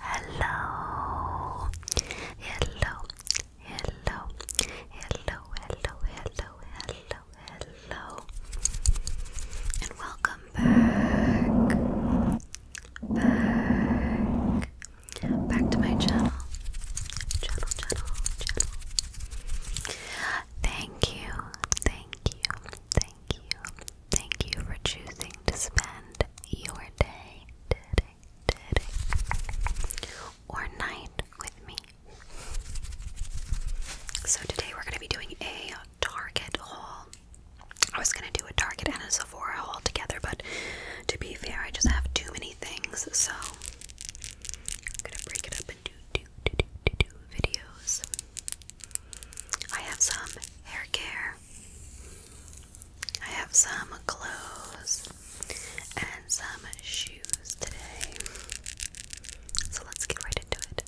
Hello, hello, hello, hello, hello, hello, hello, and welcome back, back, back to my channel, channel, channel, channel. Thank you, thank you, thank you, Thank you for choosing to spend your day, or night with me. So, today we're going to be doing a Target haul. I was going to do a Target and a Sephora haul together, but to be fair, I just have too many things, so I'm going to break it up into videos. I have some hair care. I have some clothes and some shoes today. So let's get right into it.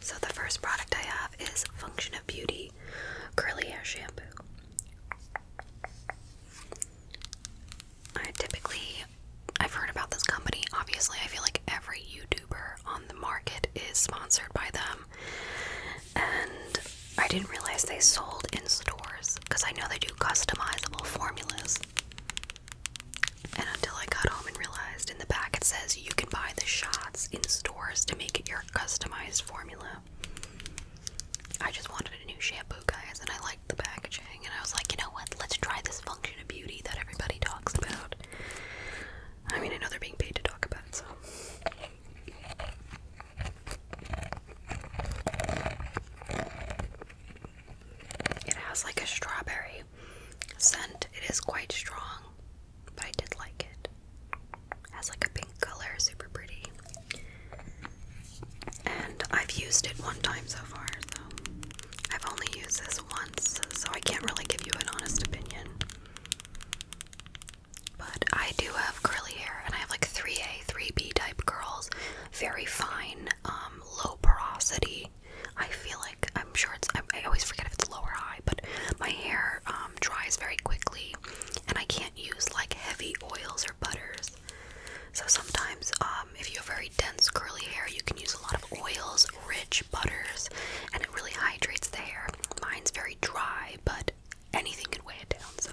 So, the first product I have is Function of Beauty Curly Hair Shampoo. I typically, I've heard about this company. Obviously, I feel like every YouTuber on the market is sponsored by them. And I didn't realize they sold in stores because I know they do customizable formulas. And until I got home and realized in the back it says you can buy the shots in stores to make your customized formula. I just wanted a new shampoo, guys, and I liked the packaging. And I was like, you know what? Let's try this function of beauty that everybody talks about. I mean, I know they're being paid to talk about it, so. It has like a strawberry scent. It is quite strong, but I did like it. it has like a pink color, super pretty. And I've used it one time so far, so I've only used this once, so I can't really give you an honest opinion. But I do have curly hair, and I have like 3A, 3B type curls, very fine, um, low porosity. I feel like I'm sure it's. I, always forget if it's lower high, but my hair um, dries very quickly, and I can't use like heavy oils or butters. So sometimes, um, if you have very dense curly hair, you can use a lot of oils, rich butters, and it really hydrates the hair. Mine's very dry, but anything can weigh it down. So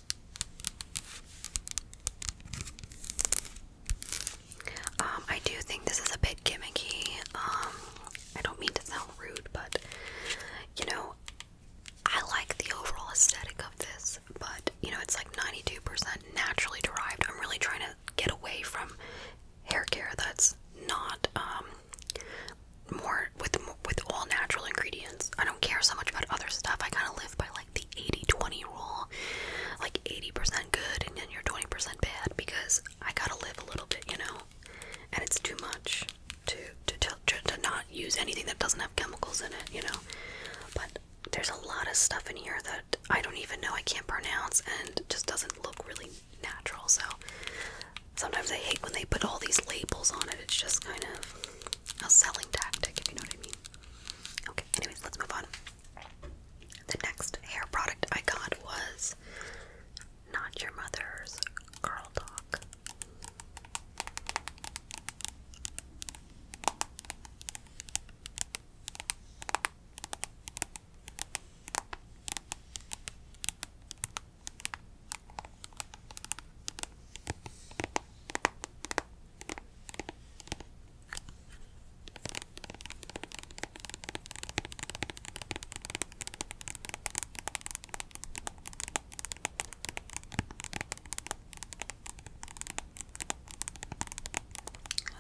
Um, I do think this is a bit gimmicky. Um, I don't mean to sound rude, but you know, I like the overall aesthetic of this, but you know, it's like 92% naturally derived. I'm really trying to get away from hair care that's not um, more with with all natural ingredients. I don't care so much about other stuff. I kind of live by like like the 80-20 rule, like 80% good and then you're 20% bad because I gotta live a little bit, you know, and it's too much to to, to to not use anything that doesn't have chemicals in it, you know. But there's a lot of stuff in here that I don't even know, I can't pronounce, and just doesn't look really natural. So sometimes I hate when they put all these labels on it. It's just kind of a selling tactic, if you know what I mean. Okay, anyways, let's move on. The next hair product I got was Not Your Mother's Curl Talk.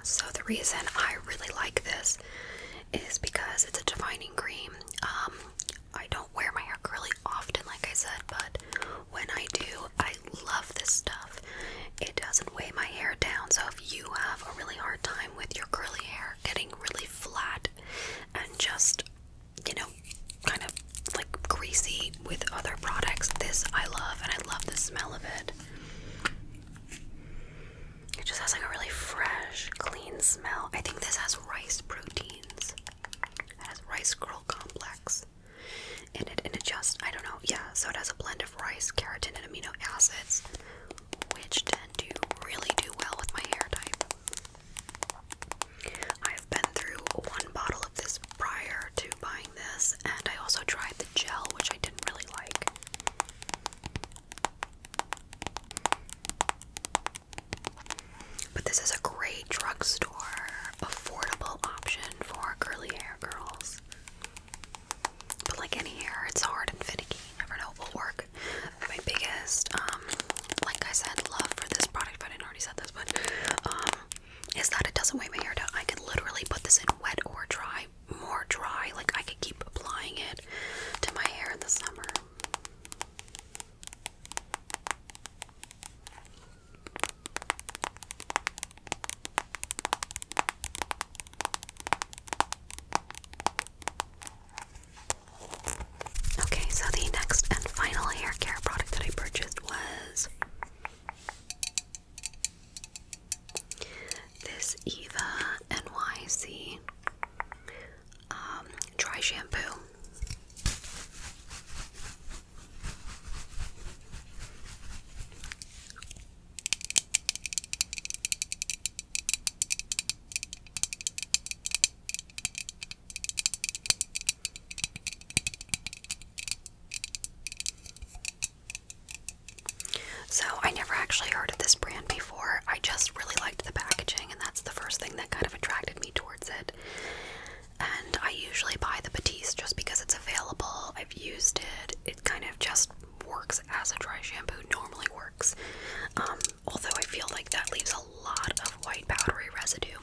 So, the reason I really like this is because it's a defining cream. Um, I don't wear my hair curly often, like I said, but when I do, I love this stuff. It doesn't weigh my hair down, so if you have a really hard time with your curly hair getting really flat and just, you know, kind of like greasy with other products, this I love and I love the smell of it. It just has like a really fresh, clean smell. I think this has rice proteins. It has rice curl complex rice it, and it just, I don't know, yeah, so it has a blend of rice, keratin, and amino acids, which tend to really do well with my hair type. I've been through one bottle of this prior to buying this, and I also tried the gel, which I didn't really like. But this is a great drugstore affordable option for curly hair girls. But like any hair, it's hard and finicky. You never know what will work. My biggest, um, like I said, love for this product, I didn't already said this, but um, is that it doesn't weigh my hair down. I can literally put this in wet or dry, more dry. Like I could keep applying it to my hair in the summer. Okay, so the next and final hair product that I purchased was this Eva NYC um, dry shampoo. So, I never actually heard of this brand before. I just really liked the packaging, and that's the first thing that kind of attracted me towards it and I usually buy the Batiste just because it's available. I've used it. It kind of just works as a dry shampoo normally works. Um, although I feel like that leaves a lot of white powdery residue.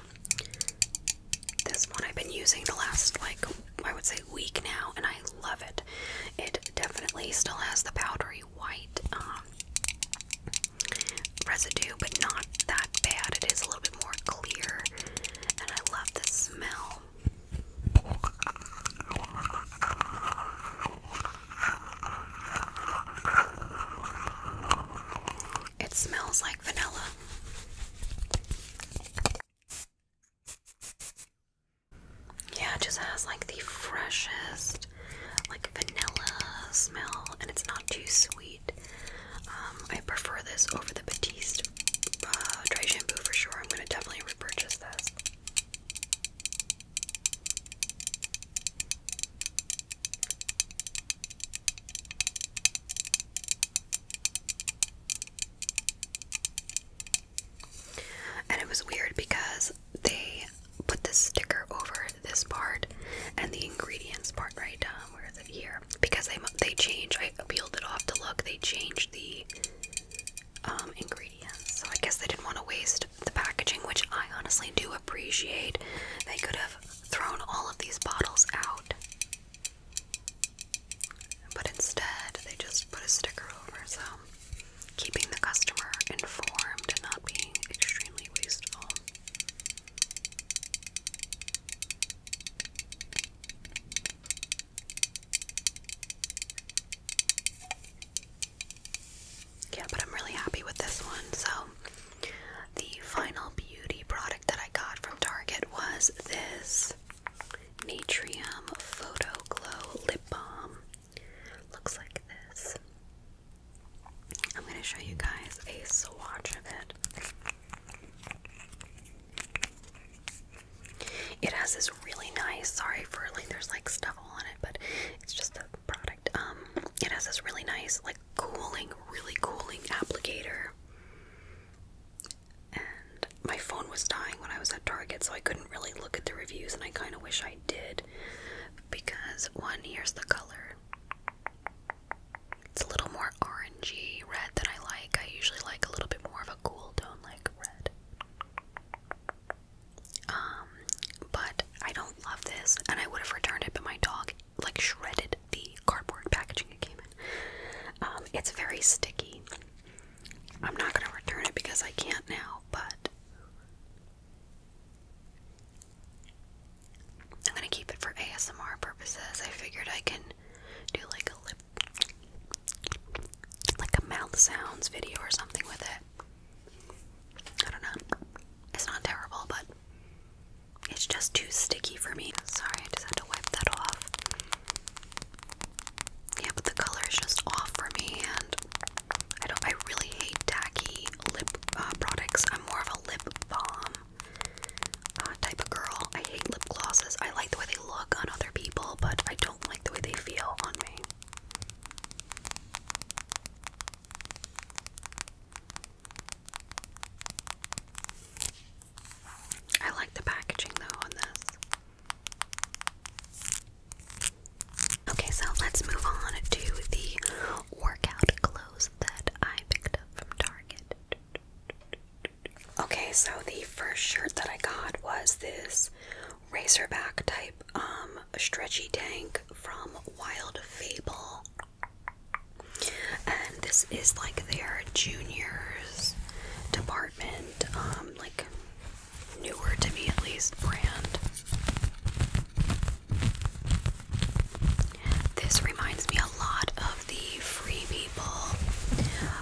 This one I've been using the last like I would say week now, and I love it. It definitely still has the powdery white um, residue, but not that bad. It is a little bit more clear and I love the smell. It smells like vanilla. Yeah, it just has like the freshest, like vanilla smell, and it's not too sweet. Um, I prefer this over the Batiste dry shampoo for sure. I'm going to definitely repurchase this. And it was weird because they put this sticker over this part and the ingredients part right down. Um, here? because they they change. I peeled it off to look. They changed the um, ingredients, so I guess they didn't want to waste the packaging, which I honestly do appreciate. They could have thrown all of these bottles out, but instead they just put a sticker over. So keeping the customer informed and not being extremely wasteful. Yeah, but I'm really happy with this one. So, the final beauty product that I got from Target was this Natrium Photo Glow Lip Balm. Looks like this. I'm going to show you guys a swatch of it. It has this really nice, sorry for like there's like stubble on it, but it's just the product. Um it has this really nice like cooling, really cooling applicator. And my phone was dying when I was at Target, so I couldn't really look at the reviews and I kind of wish I did because one here's the color. It's a little more orangey red than I like. I usually like a little bit more of a cool tone, like red. Um, but I don't love this, and I would have returned it, but my dog like shredded the cardboard packaging it came in. Um, it's very sticky. I'm not gonna return it because I can't now, but I'm gonna keep it for ASMR purposes. I figured I can do like a lip, like a mouth sounds video or something with it. I don't know. It's not terrible, but it's just too sticky for me. Sorry, I just had to wipe that off. Yeah, but the color is just off for me, and I don't. I really hate tacky lip uh, products. I'm more of a lip balm uh, type of girl. I hate lip glosses. I like the way they look on other people, but I don't like the way they feel on me. I like the packaging though on this. Okay, so let's move on to the workout clothes that I picked up from Target. Okay, so the first shirt that I got was this razorback type um, stretchy tank from Wild Fable. And this is like their juniors department, um, like newer to me at least brand. This reminds me a lot of the Free People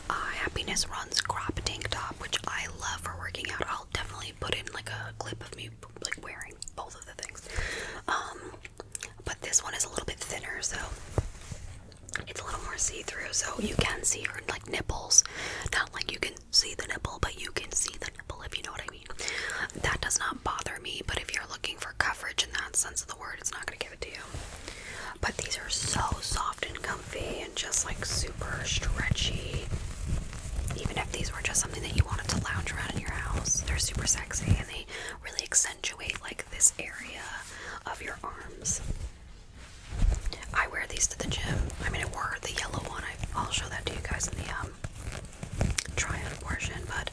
uh, Happiness Runs crop tank top, which I love for working out. I'll definitely put in like a clip of me like wearing both of the things. Um, but this one is a little bit thinner, so it's a little more see-through. So you can see your like nipples, not like you can see the nipple, but you can see the nipple if you know what I mean. That does not bother me, but if you're looking for coverage in that sense of the word, it's not gonna give it to you. But these are so soft and comfy and just like super stretchy. Even if these were just something that you wanted to lounge around in your house, they're super sexy and they really accentuate like this area of your arms. I wear these to the gym. I mean, I wore the yellow one. I, will show that to you guys in the um, try on portion, but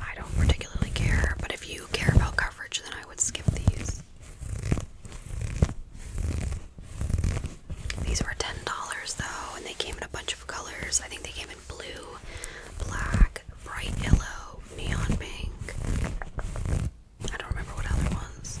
I don't particularly care, but if you care about coverage, then I would skip these. These were $10 though, and they came in a bunch of colors. I think they came in blue, black, bright yellow, neon pink. I don't remember what other ones.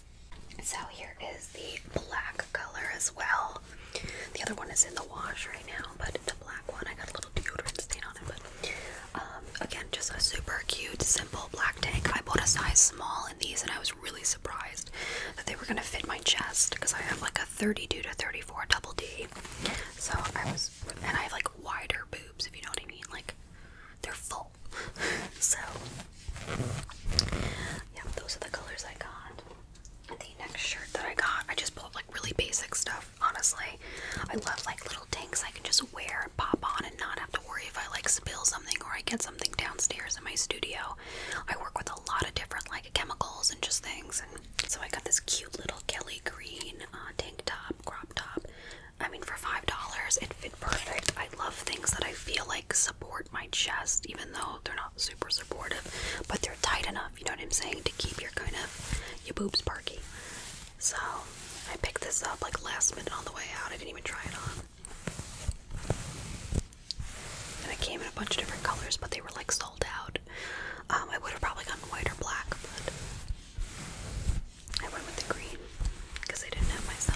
So here is the black color as well. The other one is in the wash right now, but the black one I got a little deodorant stain on it. But um, again, just a super cute, simple black tank. I bought a size small in these, and I was really surprised that they were gonna fit my chest because I have like a 32 to 34 double D. So I was, and I have like wider boobs if you know what I mean. Like they're full so, yeah, those are the colors I got. The next shirt that I got, I just bought like really basic stuff, honestly. I love like little tanks I can just wear and pop on and not have to worry if I like spill something or I get something downstairs in my studio. I work with a lot of different like chemicals and just things. And so I got this cute little Kelly green uh, tank top, crop top. I mean, for $5, it fits perfect. I love things that I feel like support my chest, even though they're not super supportive, but they're tight enough, you know what I'm saying, to keep your kind of your boobs perky. So I picked this up like last minute on the way out. I didn't even try it on. And it came in a bunch of different colors, but they were like sold out. Um, I would have probably gotten white or black, but I went with the green because I didn't have my size.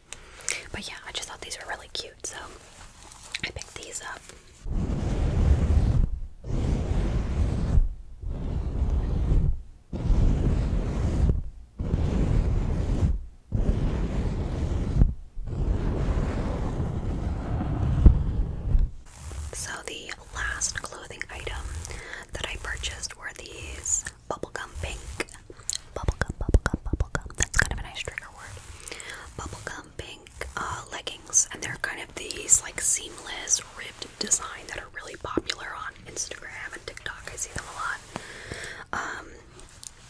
But yeah, I just thought these were really cute, so I picked these up. So, the last clothing item that I purchased were these Bubble gum pink. Bubblegum, bubblegum, bubblegum. That's kind of a nice trigger word. Bubblegum pink uh, leggings, and they're kind of these like seamless ribbed design that are really popular on Instagram and TikTok. I see them a lot. Um,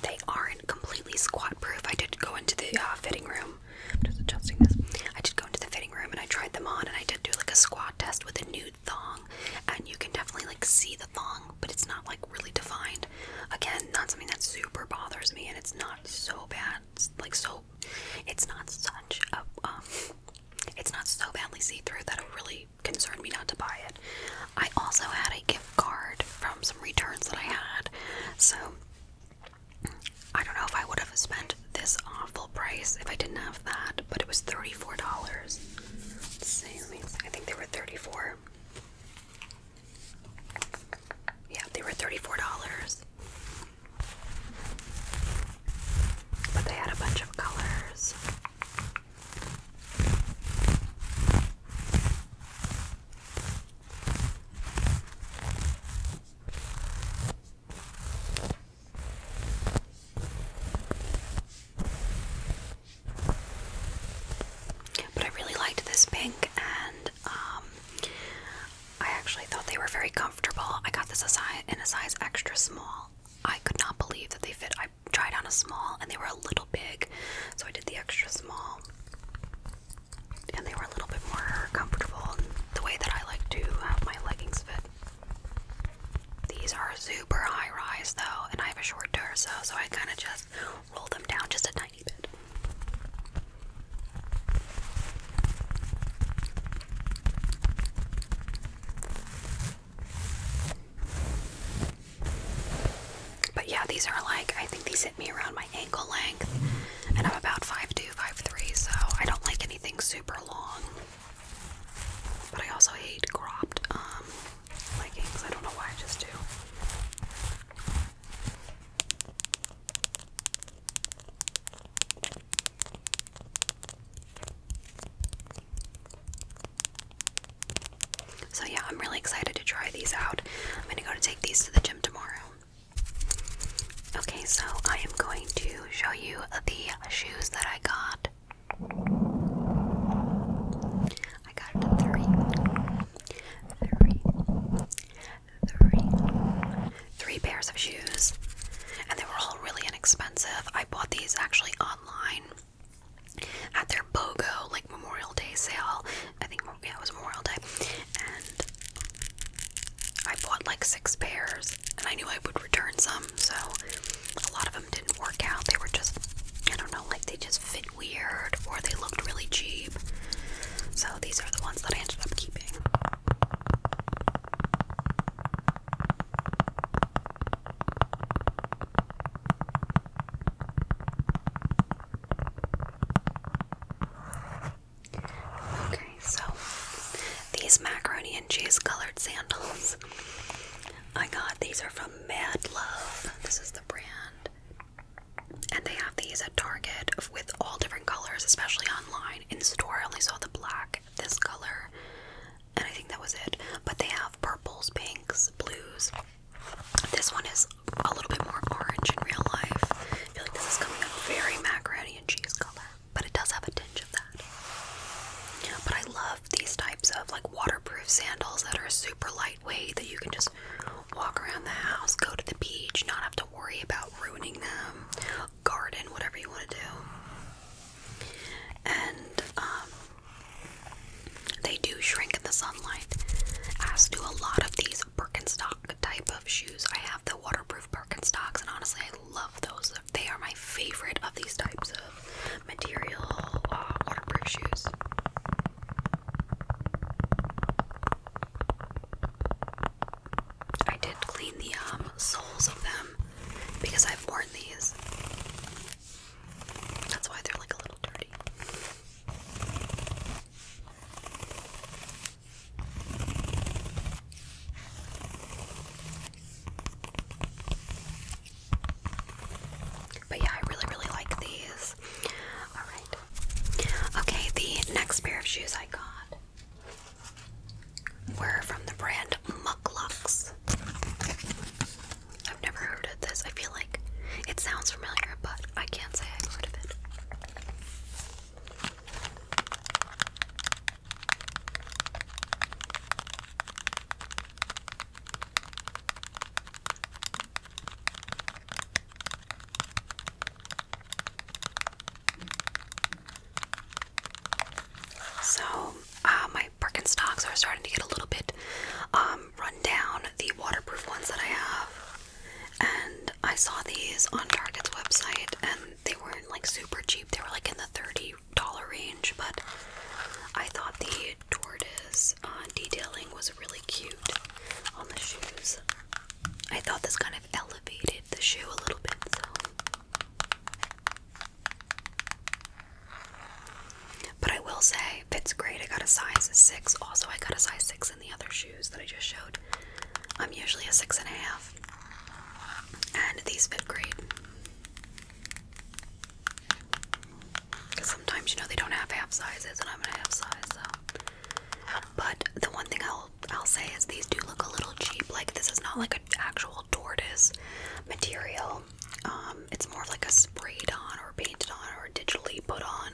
they aren't completely squat proof. I did go into the uh, fitting room. I'm just adjusting this. I did go into the fitting room and I tried them on, and I did do like a squat test with a new thong, and you can definitely like see the thong, but it's not like really defined. Again, not something that super bothers me, and it's not so bad. like so, it's not such a. Um, it's not so badly see through that it really concerned me not to buy it. I also had a gift card from some returns that I had, so I don't know if I would have spent this awful price if I didn't have that, but it was $34. I think they were 34. Yeah, they were $34. But they had a bunch of colors. But I really liked this pink, and um, I actually thought they were very comfortable. I got this in a size extra small. I could not believe that they fit. I tried on a small, and they were a little big, so I did the extra small. And they were a little bit more comfortable in the way that I like to have my leggings fit. These are super high rise though, and I have a short torso, so I kind of just roll them down just a tiny bit. But yeah, these are like, I think these hit me around my ankle length, and I'm about 5'2, 5'3, so I don't like anything super long. But I also hate cropped um, I So, yeah, I'm really excited to try these out. I'm gonna go to take these to the gym tomorrow. Okay, so I am going to show you the shoes that I got I got it to three. Three. pairs of shoes. And they were all really inexpensive. I bought these actually online at their BOGO, like Memorial Day sale. I think yeah, it was Memorial Day. And I bought like six pairs and I knew I would return some, so a lot of them didn't work out. They were just, I don't know, like they just fit weird or they looked really cheap. So these are the ones that I ended up keeping. Okay, so these macaroni and cheese colored sandals. I got these are from Mad Love. This is the brand. And they have these at Target with all different colors, especially online. In store, I only saw the black, this color, and I think that was it. But they have purples, pinks, blues. This one is a little bit more orange in real life. I feel like this is coming up very macaroni and cheese color, but it does have a tinge of that that. But I love these types of like waterproof sandals that are super lightweight that you can just walk around the house, go to the beach, not have to worry about ruining them, garden, whatever you want to do. And um, they do shrink in the sunlight, as do a lot of these Birkenstock type of shoes. I have the waterproof Birkenstocks, and honestly, I love those they are my favorite of these types of material uh, waterproof shoes. I did clean the um, soles of them because I've worn these. That's why they're like a little dirty. But yeah, I really, really like these. Alright. Okay, the next pair of shoes I got were from the brand Mucklucks. I've never heard of this. I feel like it sounds familiar, but I can't say I've heard of it. So, uh, my Birkenstocks are starting to get a little bit um, run down. The waterproof ones that I have, and I saw these on Target's website, and they weren't like super cheap. They were like in the thirty dollar range, but I thought the tortoise uh, detailing was really cute on the shoes. I thought this kind of elevated the shoe a little bit, so. But I will say, fits great. I got a size 6. Also, I got a size 6 in the other shoes that I just showed. I'm usually a 6.5. and these fit great sometimes, you know, they don't have half sizes, and I'm a half size, so. But the one thing I'll I'll say is these do look a little cheap. Like this is not like an actual tortoise material. Um, it's more of like a sprayed on or painted on or digitally put on,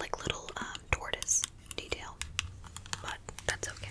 like little um, tortoise detail. But that's okay.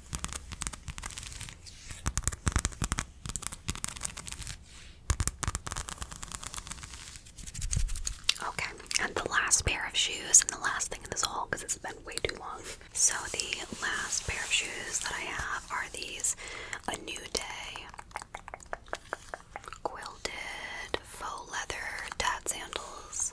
Okay, and the last pair of shoes, and the last thing in this haul because it's been way too long. So, the last pair of shoes that I have are these A New Day quilted faux leather dad sandals.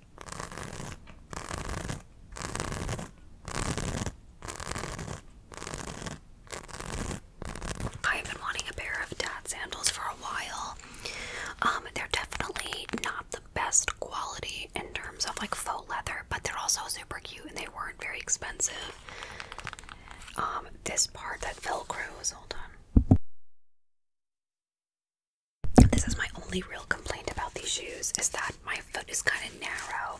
I've been wanting a pair of dad sandals for a while. Um, they're definitely not the best quality in terms of like faux leather, but they're also super cute and they weren't very expensive. Um, this part that velcros, hold on. This is my only real complaint about these shoes is that my foot is kind of narrow.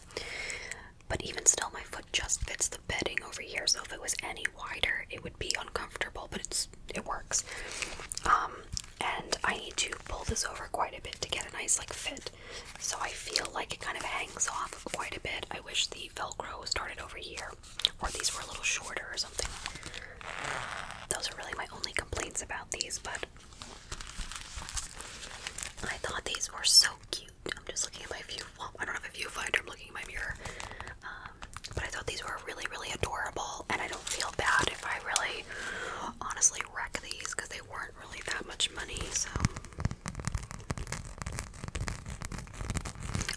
But even still, my foot just fits the bedding over here. So if it was any wider, it would be uncomfortable. But it's it works. Um, and I need to pull this over quite a bit to get a nice like fit. So I feel like it kind of hangs off quite a bit. I wish the Velcro started over here, or these were a little shorter or something. Those are really my only complaints about these. But I thought these were so cute. I'm just looking at my view. I don't have a viewfinder. I'm looking at my mirror. Um, but I thought these were really, really adorable, and I don't feel bad if I really, honestly wreck these because they weren't really that much money. So,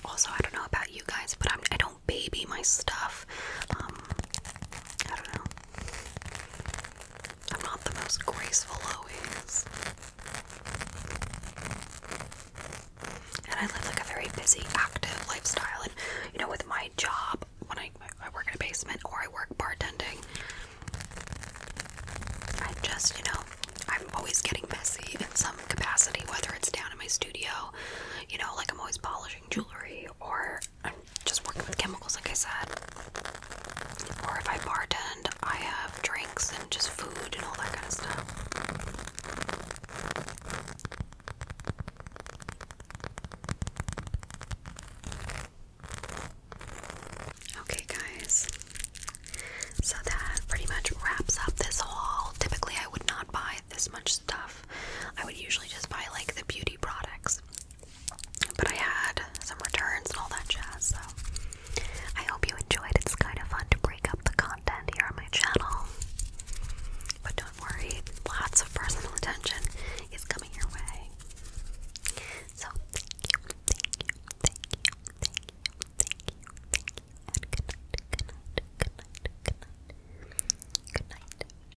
also, I don't know about you guys, but I'm, I do not baby my stuff. Um, I don't know. I'm not the most graceful always. And I live like a very busy, active lifestyle. And you know, with my job, when I, I work in a basement or I work bartending, I just, you know, I'm always getting messy in some capacity, whether it's down in my studio, you know, like I'm always polishing jewelry or I'm just working with chemicals, like I said. Or if I bartend, I have drinks and just food and all that kind of stuff. Okay, guys. So that pretty much wraps up this haul. Typically, I would not buy this much stuff. I would usually just buy like the beauty products. But I had some returns and all that jazz, so I hope you enjoyed. It's kind of fun to break up the content here on my channel. But don't worry, lots of personal attention is coming your way. So thank you, thank you, thank you, thank you, thank you, thank you, and good night, good night, good night, good night, good night.